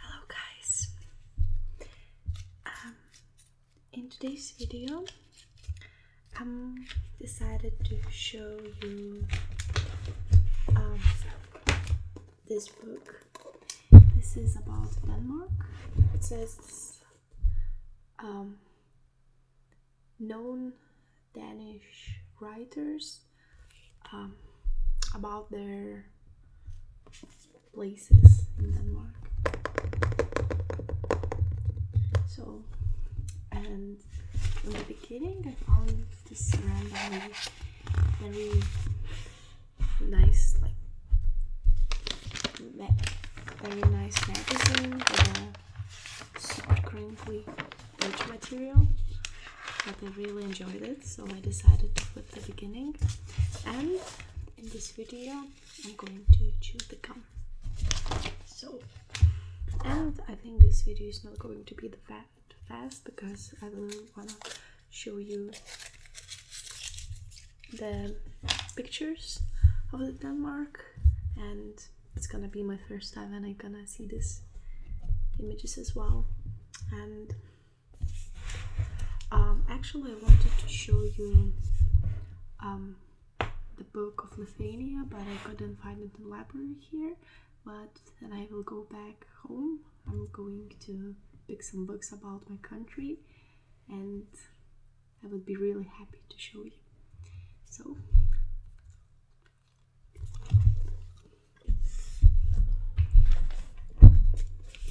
Hello guys! Um, in today's video I'm um, decided to show you um, this book. This is about Denmark. It says um, known Danish writers um, about their places in Denmark. So, and in the beginning, I found this random very nice like very nice magazine with super crinkly edge material but I really enjoyed it so I decided to put the beginning and in this video I'm going to choose the gum so and I think this video is not going to be the fast, fast because I will wanna show you the pictures of the Denmark and it's gonna be my first time and I'm gonna see these images as well and um, actually I wanted to show you um, the book of Lithuania but I couldn't find it in the library here but then I will go back home I'm going to pick some books about my country and I will be really happy to show you. So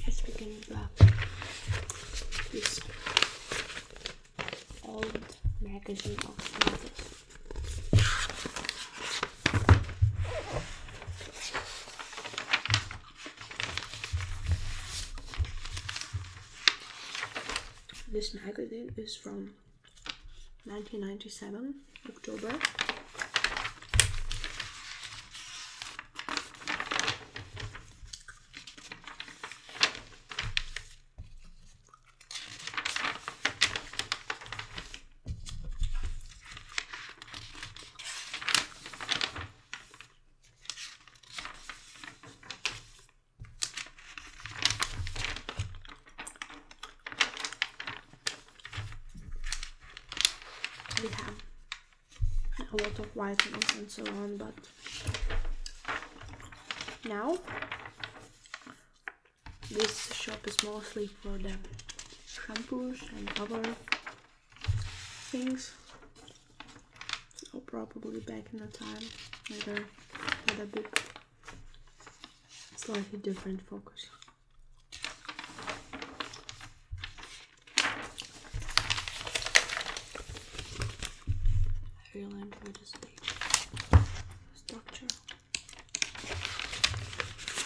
let's begin with this magazine is from 1997, October. We have a lot of vitamins and so on, but now this shop is mostly for the shampoos and other things. So probably back in the time later had a bit slightly different focus. I really enjoy this page. Structure.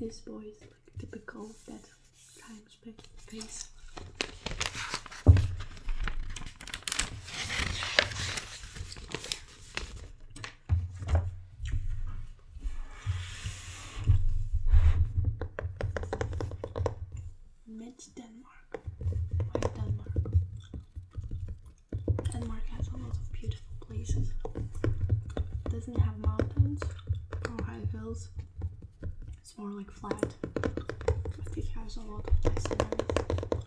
This boy is like typical bad times back face. Met Denmark. Denmark has a lot of beautiful places. Doesn't have mountains or high hills. It's more like flat. But it has a lot of nice areas.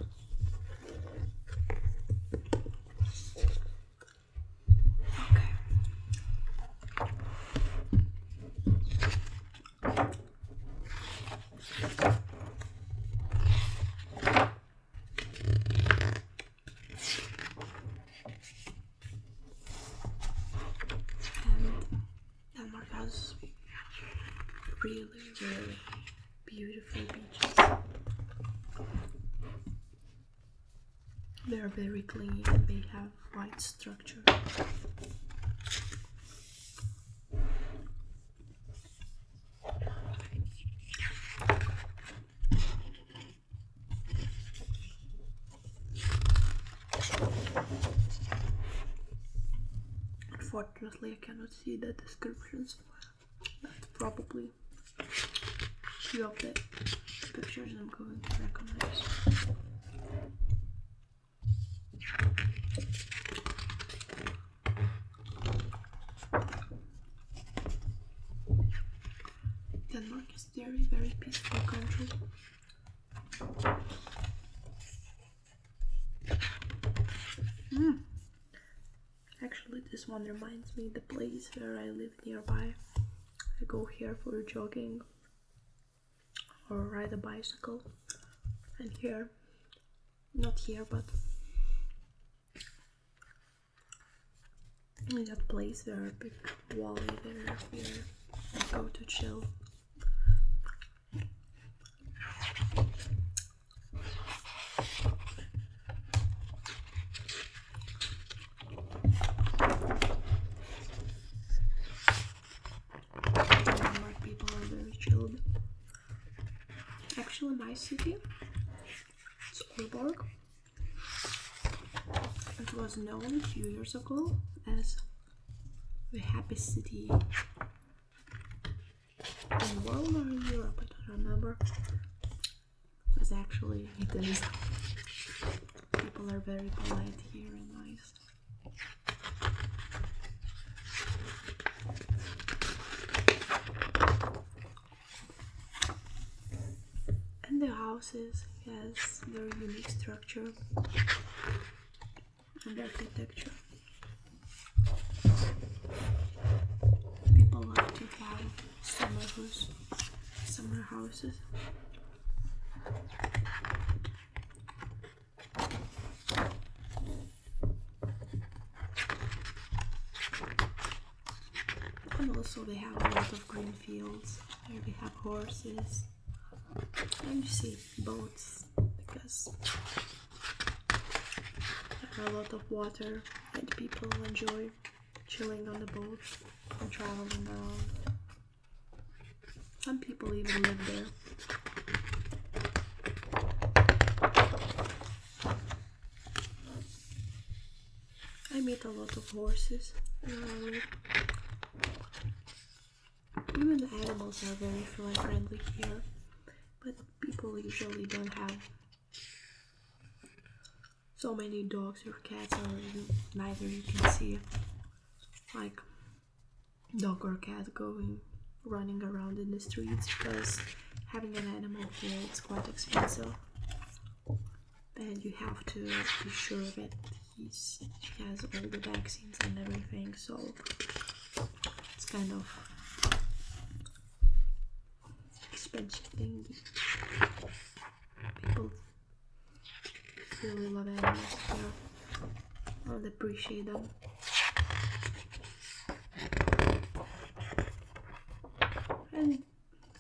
Okay. Denmark has really, really beautiful beaches. They are very clean and they have white structure. Unfortunately, I cannot see the descriptions. That's probably few of the pictures I'm going to recognize. Denmark is very, very peaceful country. Hmm. Actually, this one reminds me the place where I live nearby. I go here for jogging or ride a bicycle, and here not here but in that place there are big wall there where go to chill Denmark people are very chilled. Actually, my city is It was known a few years ago as the happy city in the world Europe, I don't remember. Because actually it is. People are very polite here and nice. And the houses has very unique structure and architecture. People like to buy summer house, summer houses. And also they have a lot of green fields. Here we have horses. And you see boats because there are a lot of water and people enjoy chilling on the boats and traveling around. Some people even live there. I meet a lot of horses. even the animals are very friendly here, but people usually don't have so many dogs or cats, or neither you can see. Like, dog or cat going running around in the streets because having an animal here it's quite expensive and you have to be sure that he's, he has all the vaccines and everything so it's kind of expensive thing people really love animals here and appreciate them and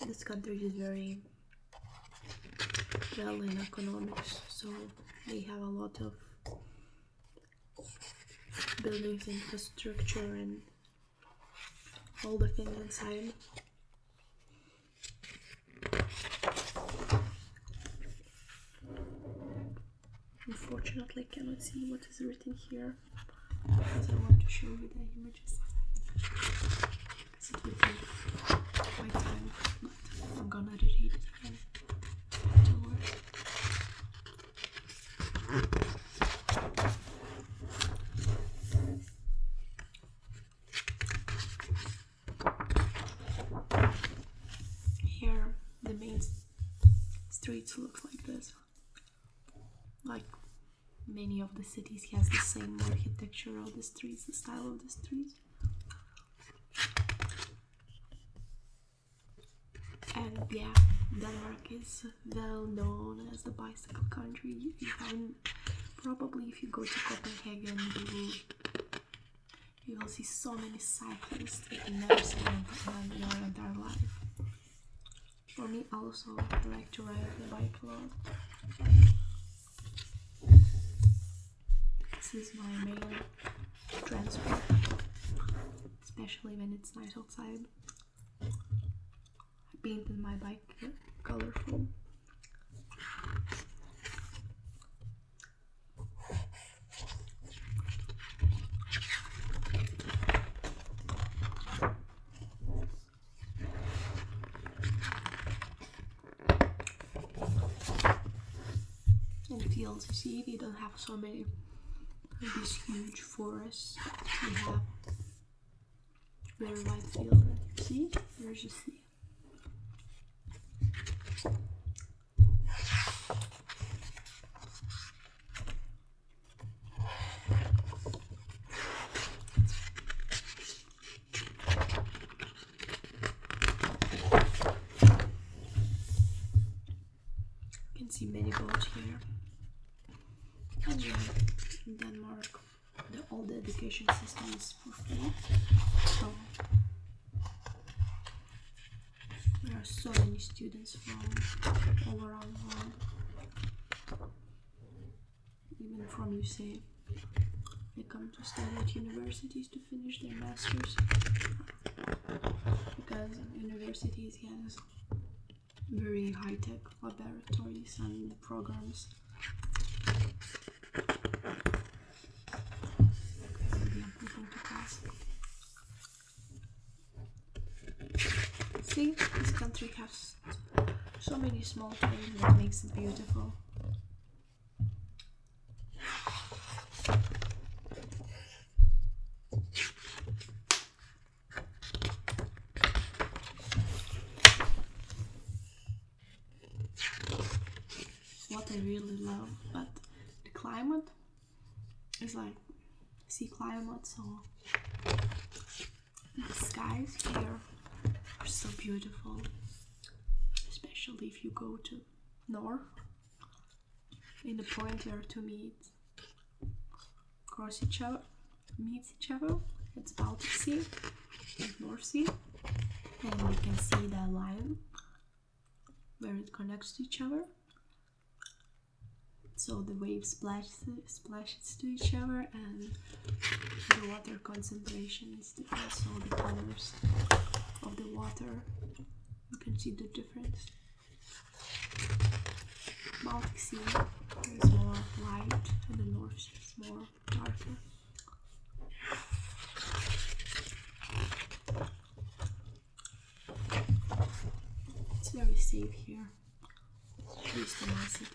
this country is very well in economics, so they have a lot of buildings, infrastructure, and all the things inside. Unfortunately, I cannot see what is written here because I want to show you the images. I'm gonna reread it again here, the main streets look like this. Like many of the cities, has the same architecture of the streets, the style of the streets. And yeah, Denmark is well known as the bicycle country. You can probably if you go to Copenhagen, you you will see so many cyclists that you never seen in your entire life. For me, also, I like to ride the bike This is my main transport, especially when it's nice outside. I painted my bike colorful. And if you see, they don't have so many these huge forests. They have very wide field. See? There's just sea. You can see many boats here. And, in Denmark, the, old education system is so there are so many students from all around the world even from usa they come to study at universities to finish their masters because universities have very high-tech laboratories and programs See, this country has so many small things that makes it beautiful what I really love, but the climate is like sea climate, so the skies here are so beautiful, especially if you go to north. In the point where to meet, cross each other, meets each other. It's Baltic Sea. North Sea and you can see the line where it connects to each other so the wave splashes, splashes to each other and the water concentration is different so the colors of the water you can see the difference Baltic Sea is more light and the North is more Martin. It's very safe here. At least I see.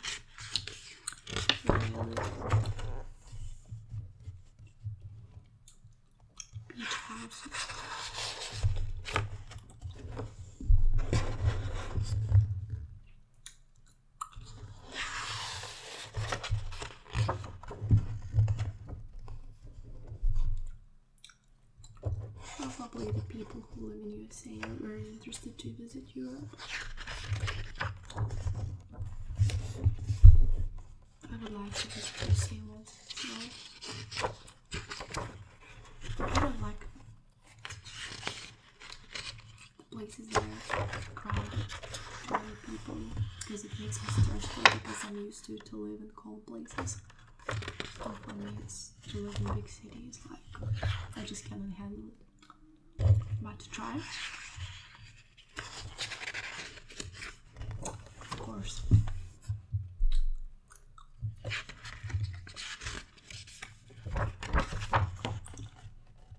Beach house. Probably the people who live in USA are very interested to visit Europe. I would like to visit USA once I don't like places that crowd by people because it makes me stressful because I'm used to to live in cold places. for me, to live in big cities like I just cannot handle it. But to try, of course.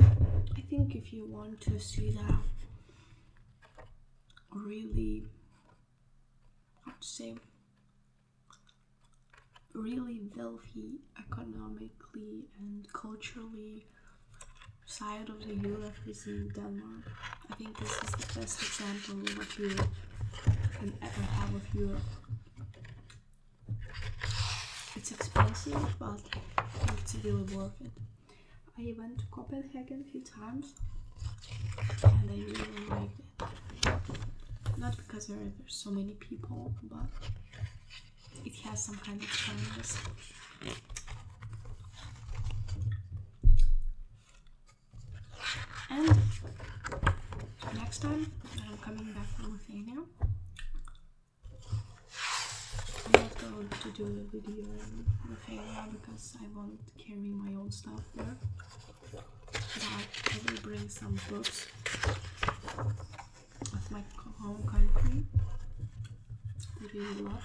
I think if you want to see that, really, how to say, really wealthy economically and culturally side of the Europe is in Denmark. I think this is the best example of Europe you can ever have of Europe. It's expensive, but it's really worth it. I went to Copenhagen a few times and I really liked it. Not because there are so many people, but it has some kind of charm. And next time I'm coming back with a nail, I'm not go to do a video with a nail because I won't carry my own stuff there. But I will bring some books with my home country that we love.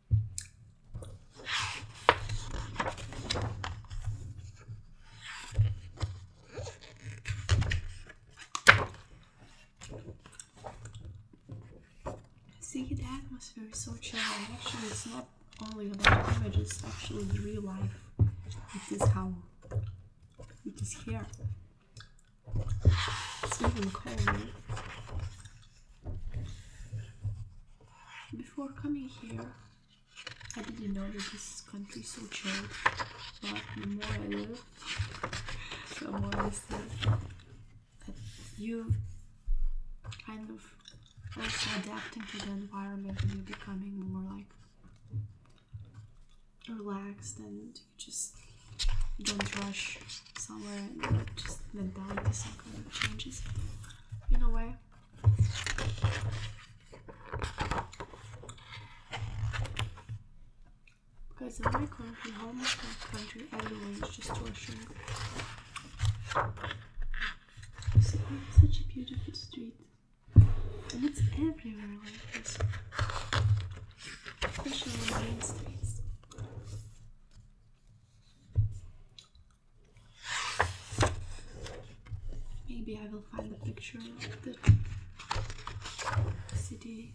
See, the atmosphere is so chill. Actually, it's not only about images, actually the real life. It is how it is here. Before coming here, I didn't know that this country is so chill? but the more I live, the more I see that you kind of also adapting to the environment and you're becoming more like relaxed and just don't rush somewhere and just that just kind of changes in a way. Because in my country, almost my country, everyone is just rushing. So, such a beautiful street. And it's everywhere like this. Especially main streets. Maybe I will find a picture of the city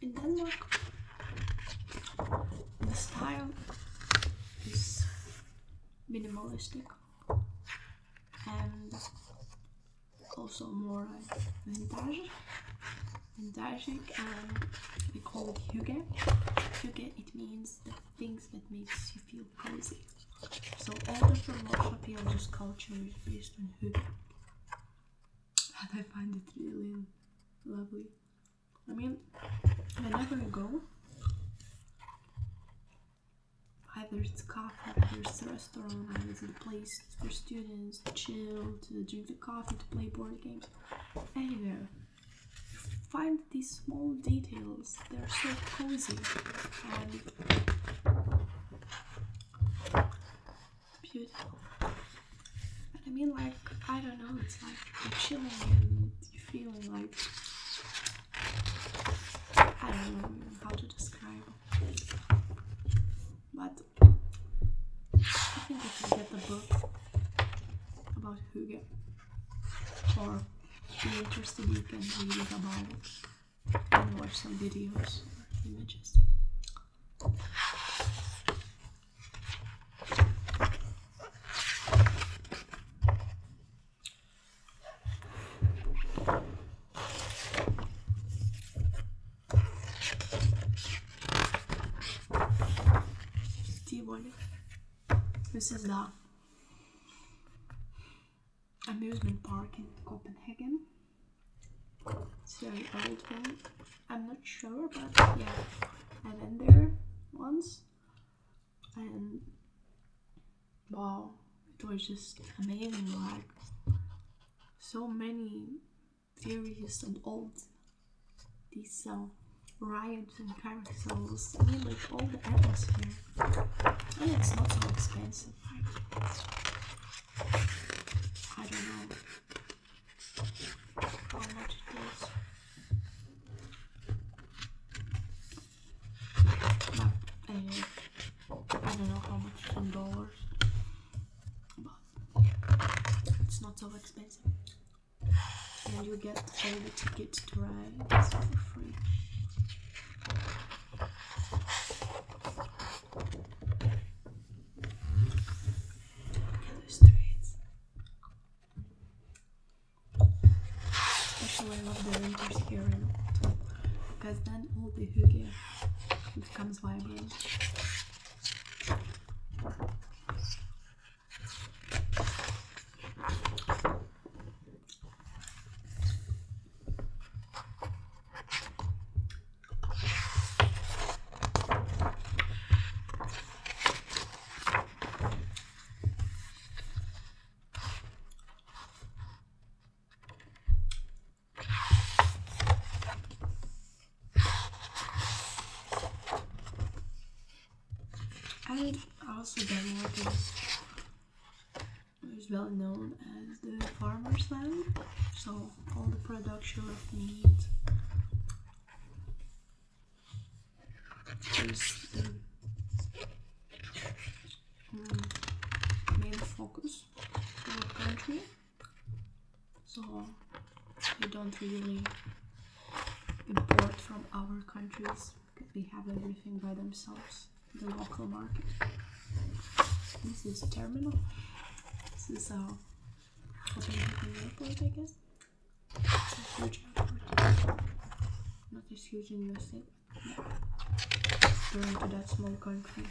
In Denmark, the style is minimalistic also more like vintage vintage um, and we call it hygge hygge it means the things that makes you feel cozy so all the philosophy of this culture is based on hygge and I find it really lovely I mean whenever you go Either it's coffee, either it's a restaurant, either it's a place for students to chill, to drink the coffee, to play board games. Anywhere. Find these small details, they're so cozy and beautiful. And I mean, like, I don't know, it's like you're chilling and you're feeling like I don't know how to describe but I think I should get the book about Hugo. Or be interested, you can read about it and watch some videos or images. This is the amusement park in Copenhagen. very old one. I'm not sure, but yeah, I been there once, wow, it was just amazing. Like so many theories and old, these um, riots and carousels, and like all the atmosphere, and it's not so expensive. I don't know how much it is. And I don't know how much in dollars, but it's not so expensive. And you get all the tickets to ride for free. Especially I love the winters here in because then all the hygge becomes vibrant. I also don't know well known as the farmer's land, so all the production of meat Mm. main focus for the country so we don't really import from other countries because we have everything by themselves the local market this is terminal this is our Copenhagen airport I guess not as huge in USA going to that small country.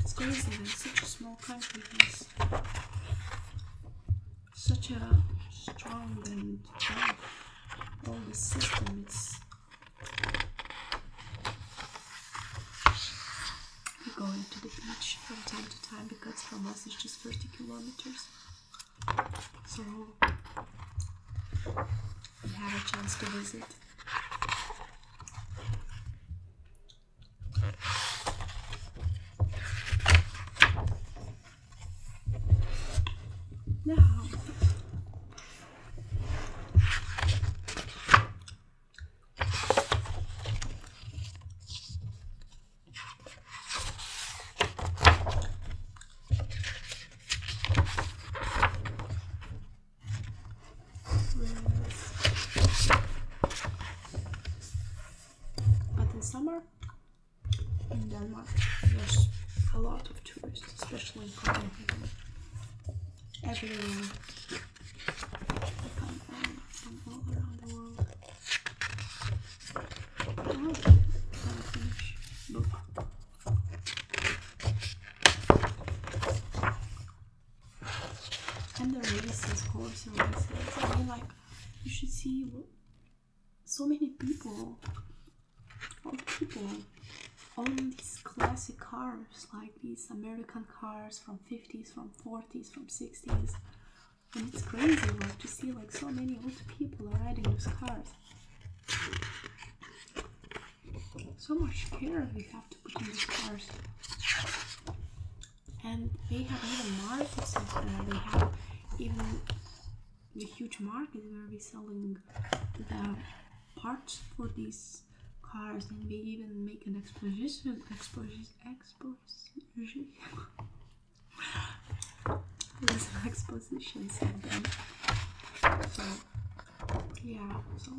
It's crazy that such a small country has such a strong and all the system. It's we're going to the beach from time to time because from us it's just 30 kilometers. So we had a chance to visit. Now but in summer, in Denmark, there's a lot of tourists, especially in from all around the world. And the races, horse races. I mean, like, you should see so many people, all people own these classic cars, like these American cars from 50s, from 40s, from 60s. And it's crazy like to see like so many old people riding those cars. So much care we have to put in these cars. And they have even markets uh, they have even the huge market where we're selling the parts for these cars and they even make an exposition expos, expo exposition said then. So yeah, so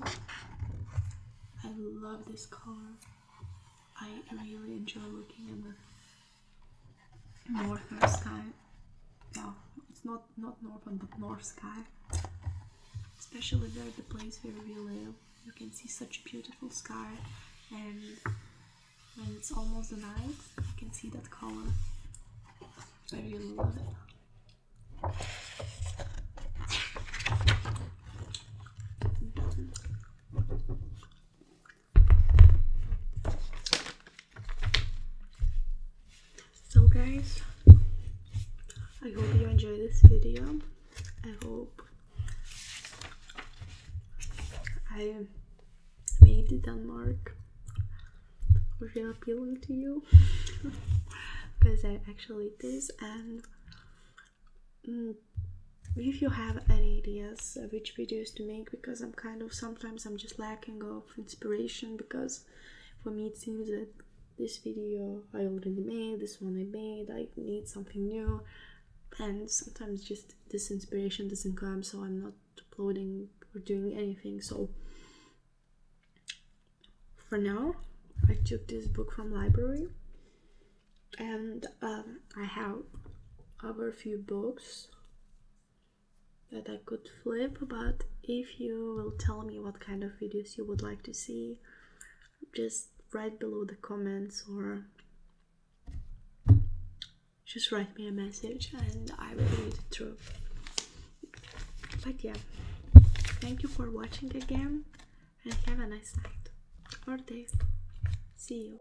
I love this color. I really enjoy looking at the northern sky. Yeah, it's not not northern but north sky. Especially there the place where we live. You can see such a beautiful sky and and it's almost night. I can see that color. I really love it. So guys, I hope you enjoy this video. I hope I maybe Denmark will feel appealing to you because I actually this and mm, if you have any ideas which videos to make because I'm kind of sometimes I'm just lacking of inspiration because for me it seems that this video I already made, this one I made, I need something new and sometimes just this inspiration doesn't come so i'm not uploading or doing anything so for now i took this book from library and um, i have other few books that i could flip but if you will tell me what kind of videos you would like to see just write below the comments or just write me a message and I will read it through. But yeah, thank you for watching again and have a nice night or day. See you.